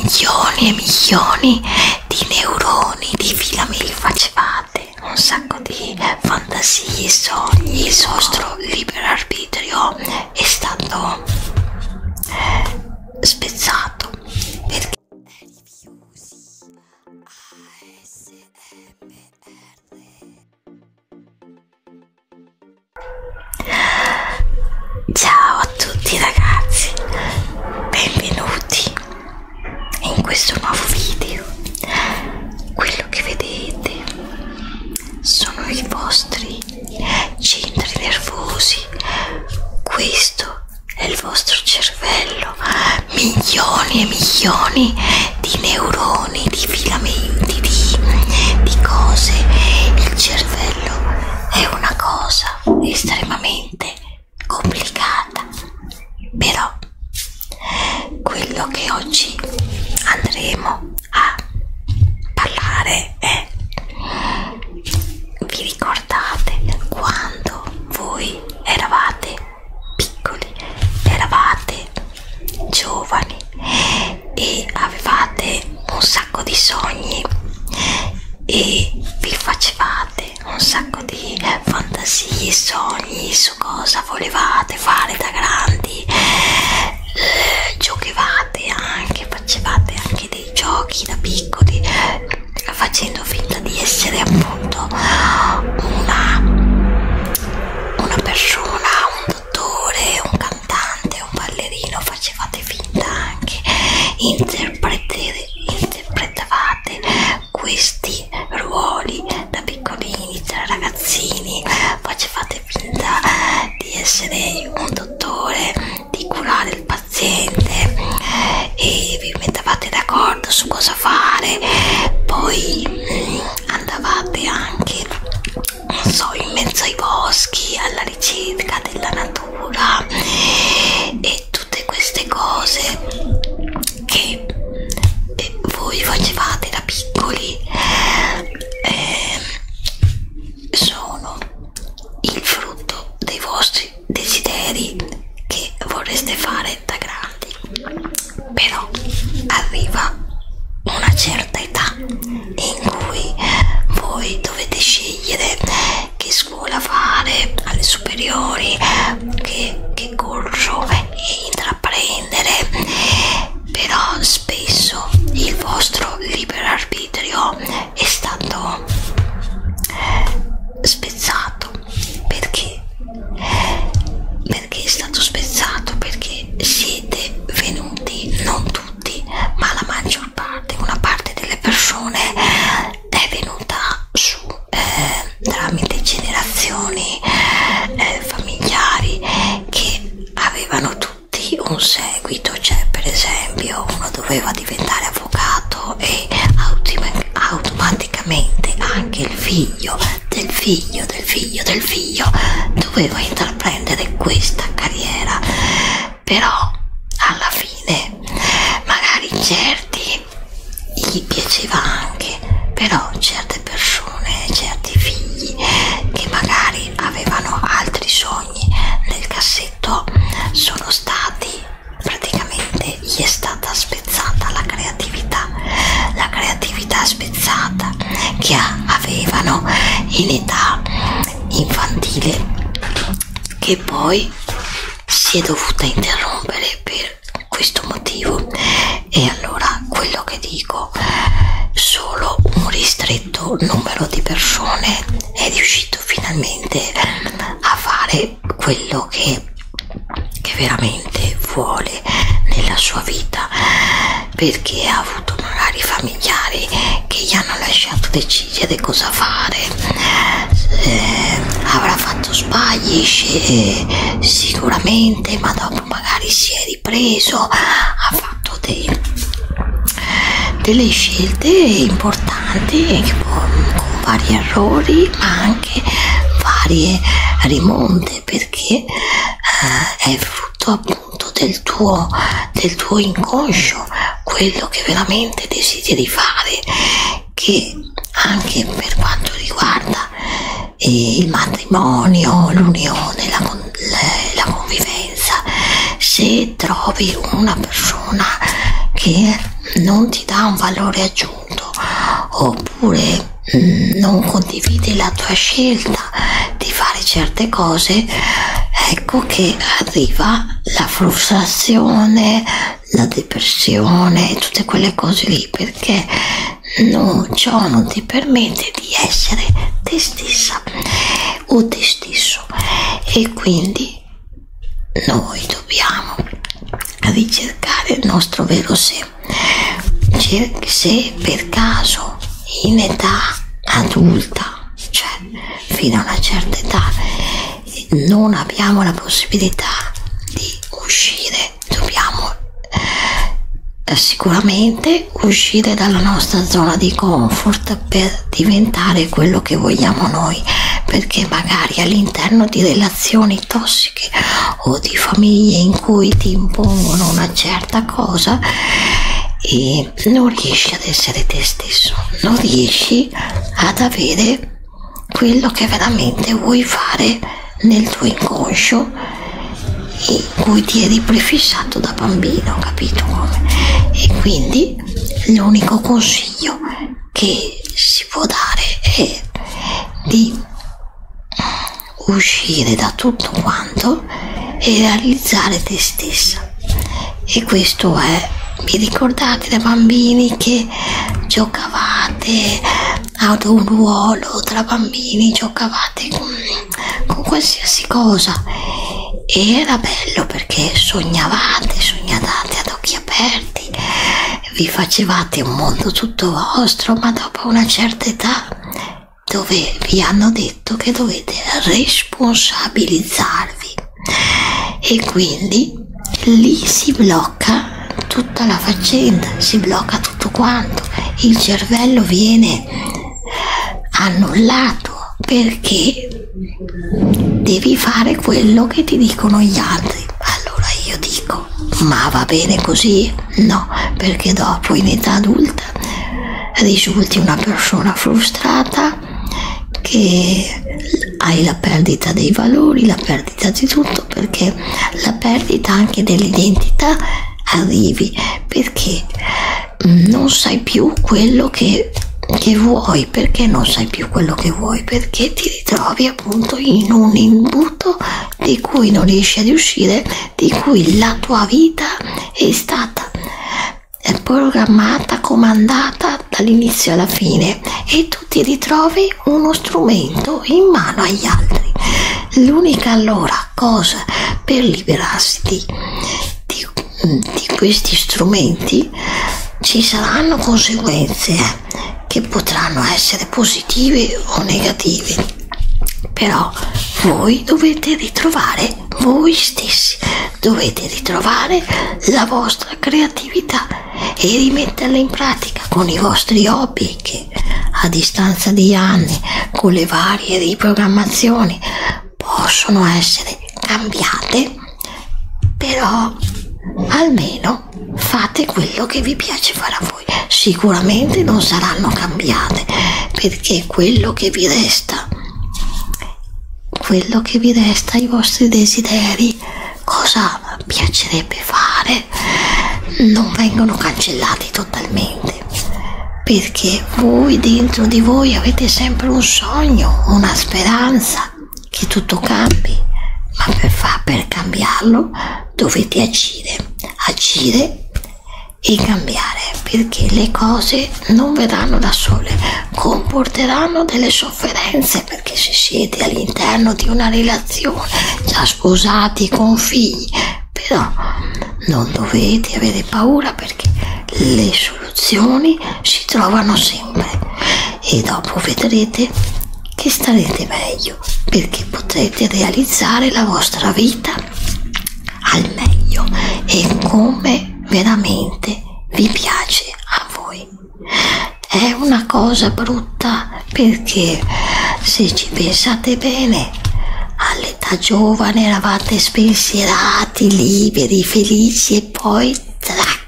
milioni e milioni di neuroni di filamenti facevate un sacco di eh, fantasie, sogni, il vostro libero arbitrio è stato eh, spezzato perché Ciao a tutti ragazzi, benvenuti in questo nuovo video. Quello che vedete sono i vostri centri nervosi. Questo è il vostro cervello, milioni e milioni di neuroni, di filamenti, di, di cose. Il cervello è una cosa estremamente complicata però quello che oggi andremo a parlare è vi ricordate quando voi eravate piccoli eravate giovani e avevate un sacco di sogni e vi facevate un sacco di eh, fantasie, sogni su cosa volevate fare da grandi, eh, giocavate anche, facevate anche dei giochi da piccoli facendo finta di essere appunto una, una persona, un attore, un cantante, un ballerino, facevate finta anche, interpretavate questi ruoli da piccolini, da ragazzini, facevate finta di essere un dottore, di curare il paziente e vi mettevate d'accordo su cosa fare, poi mm, andavate anche non so, in mezzo ai boschi, alla ricerca della natura e tutte queste cose che eh, voi facevate da piccoli eh, sono il frutto dei vostri desideri che vorreste fare da grandi però arriva una certa età in cui voi dovete scegliere che scuola fare alle superiori, che, che corso intraprendere, però spesso il vostro libero arbitrio è stato spezzato perché? che è stato spezzato perché siete venuti, non tutti, ma la maggior parte, una parte delle persone è venuta su eh, tramite generazioni eh, familiari che avevano tutti un seguito, cioè per esempio uno doveva diventare avvocato e automaticamente anche il figlio del figlio, del figlio, del figlio, dovevo intraprendere questa carriera, però alla fine magari certi gli piaceva anche, però certe persone, certi figli che magari avevano altri sogni nel cassetto sono stati praticamente gli è stata spezzata la creatività, la creatività spezzata spezzata che avevano in età infantile che poi si è dovuta interrompere per questo motivo e allora quello che dico solo un ristretto numero di persone è riuscito finalmente a fare quello che che veramente vuole nella sua vita perché ha avuto magari familiari che gli hanno lasciato decidere cosa fare eh, avrà fatto sbagli eh, sicuramente ma dopo magari si è ripreso ha fatto dei, delle scelte importanti con vari errori ma anche varie rimonte per perché eh, è frutto appunto del tuo, del tuo inconscio, quello che veramente desideri fare, che anche per quanto riguarda eh, il matrimonio, l'unione, la, la convivenza, se trovi una persona che non ti dà un valore aggiunto, contenuto oppure mh, mm, non condividi la tua scelta di fare certe cose ecco che arriva la frustrazione la depressione tutte quelle cose lì perché no, mm, ciò non ti permette di essere te stessa o te stesso e quindi noi dobbiamo ricercare il nostro vero sé. Se per caso in età adulta, cioè fino a una certa età, non abbiamo la possibilità di uscire, dobbiamo eh, sicuramente uscire dalla nostra zona di comfort per diventare quello che vogliamo noi perché magari all'interno di relazioni tossiche tossiche o di famiglie in cui ti impongono una certa cosa e non riesci ad essere te stesso, non riesci ad avere quello che veramente vuoi fare nel tuo inconscio in cui ti eri prefissato da bambino, capito come? E quindi l'unico consiglio che si può dare è di mm, uscire da tutto quanto e realizzare te stessa e questo è vi ricordate da bambini che giocavate ad un ruolo tra bambini giocavate con, con qualsiasi cosa e era bello perché sognavate sognate ad occhi occhi aperti, vi facevate un mondo tutto vostro, ma dopo una certa età dove vi hanno detto che dovete responsabilizzarvi e quindi lì si blocca tutta la faccenda, si blocca tutto quanto, il cervello viene annullato perché devi fare quello che ti dicono gli altri. Allora io dico, ma va bene così? No, perché dopo in età adulta risulti una persona frustrata che hai la perdita dei valori, la perdita di tutto, perché la perdita anche dell'identità arrivi perché non sai più quello che che, che vuoi, perché non sai più quello che vuoi, perché ti ritrovi appunto in un imbuto di cui non riesci ad uscire, di cui la tua vita è stata programmata, comandata dall'inizio alla fine e tu ti ritrovi uno strumento in mano agli altri. L'unica allora cosa per liberarsi di, di di questi strumenti ci saranno conseguenze che potranno essere positive o negative però voi dovete ritrovare voi stessi dovete ritrovare la vostra creatività e rimetterla in pratica con i vostri hobby che a distanza di anni con le varie riprogrammazioni possono essere cambiate, però almeno fate quello che vi piace fare a voi. Sicuramente non saranno cambiate perché quello che vi resta, quello che vi resta, i vostri desideri, cosa piacerebbe fare, non vengono cancellati totalmente perché voi dentro di voi avete sempre un sogno, una speranza che tutto cambi, ma per, far, per cambiarlo dovete agire, agire e cambiare perché le cose non verranno da sole, comporteranno delle sofferenze perché se siete all'interno di una relazione, già sposati con figli, però non dovete avere paura perché le soluzioni soluzioni si trovano sempre e dopo vedrete che starete meglio perché potrete realizzare la vostra vita al meglio e come veramente vi piace a voi. È una cosa brutta perché se ci pensate bene all'età giovane eravate spensierati, liberi, felici e poi trac,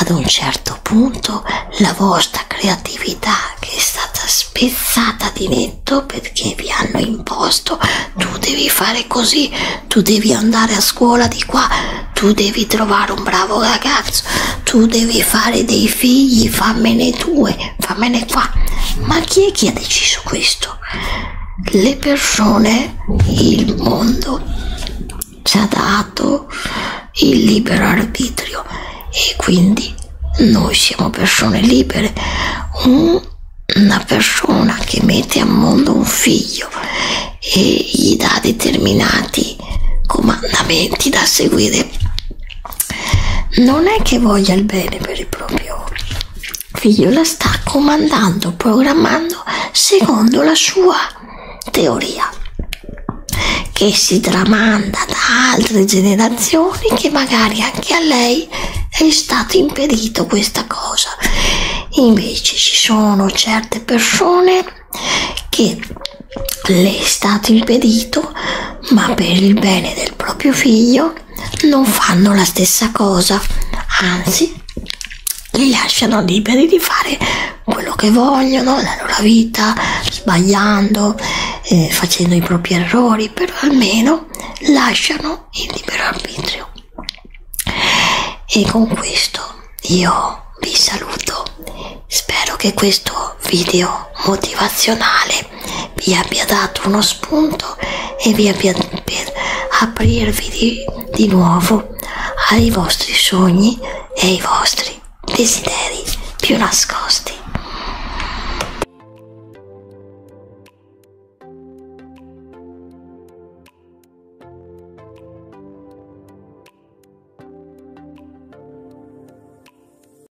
ad un certo punto la vostra creatività che è stata spezzata di netto perché vi hanno imposto tu devi fare così, tu devi andare a scuola di qua, tu devi trovare un bravo ragazzo, tu devi fare dei figli, fammene due, fammene qua. Ma chi è che ha deciso questo? le persone, il mondo ci ha dato il libero arbitrio e quindi noi siamo persone libere. Una persona che mette a mondo un figlio e gli dà determinati comandamenti da seguire non è che voglia il bene per il proprio figlio la sta comandando, programmando secondo la sua teoria che si tramanda da altre generazioni che magari anche a lei è stato impedito questa cosa invece ci sono certe persone che le è stato impedito ma per il bene del proprio figlio non fanno la stessa cosa, anzi li lasciano liberi di fare quello che vogliono nella loro vita, sbagliando, eh, facendo i propri errori, però almeno lasciano il libero arbitrio. E con questo io vi saluto. Spero che questo video motivazionale Signore vi abbia dato uno spunto e vi abbia per aprirvi di, di nuovo ai vostri sogni e ai vostri desideri più nascosti.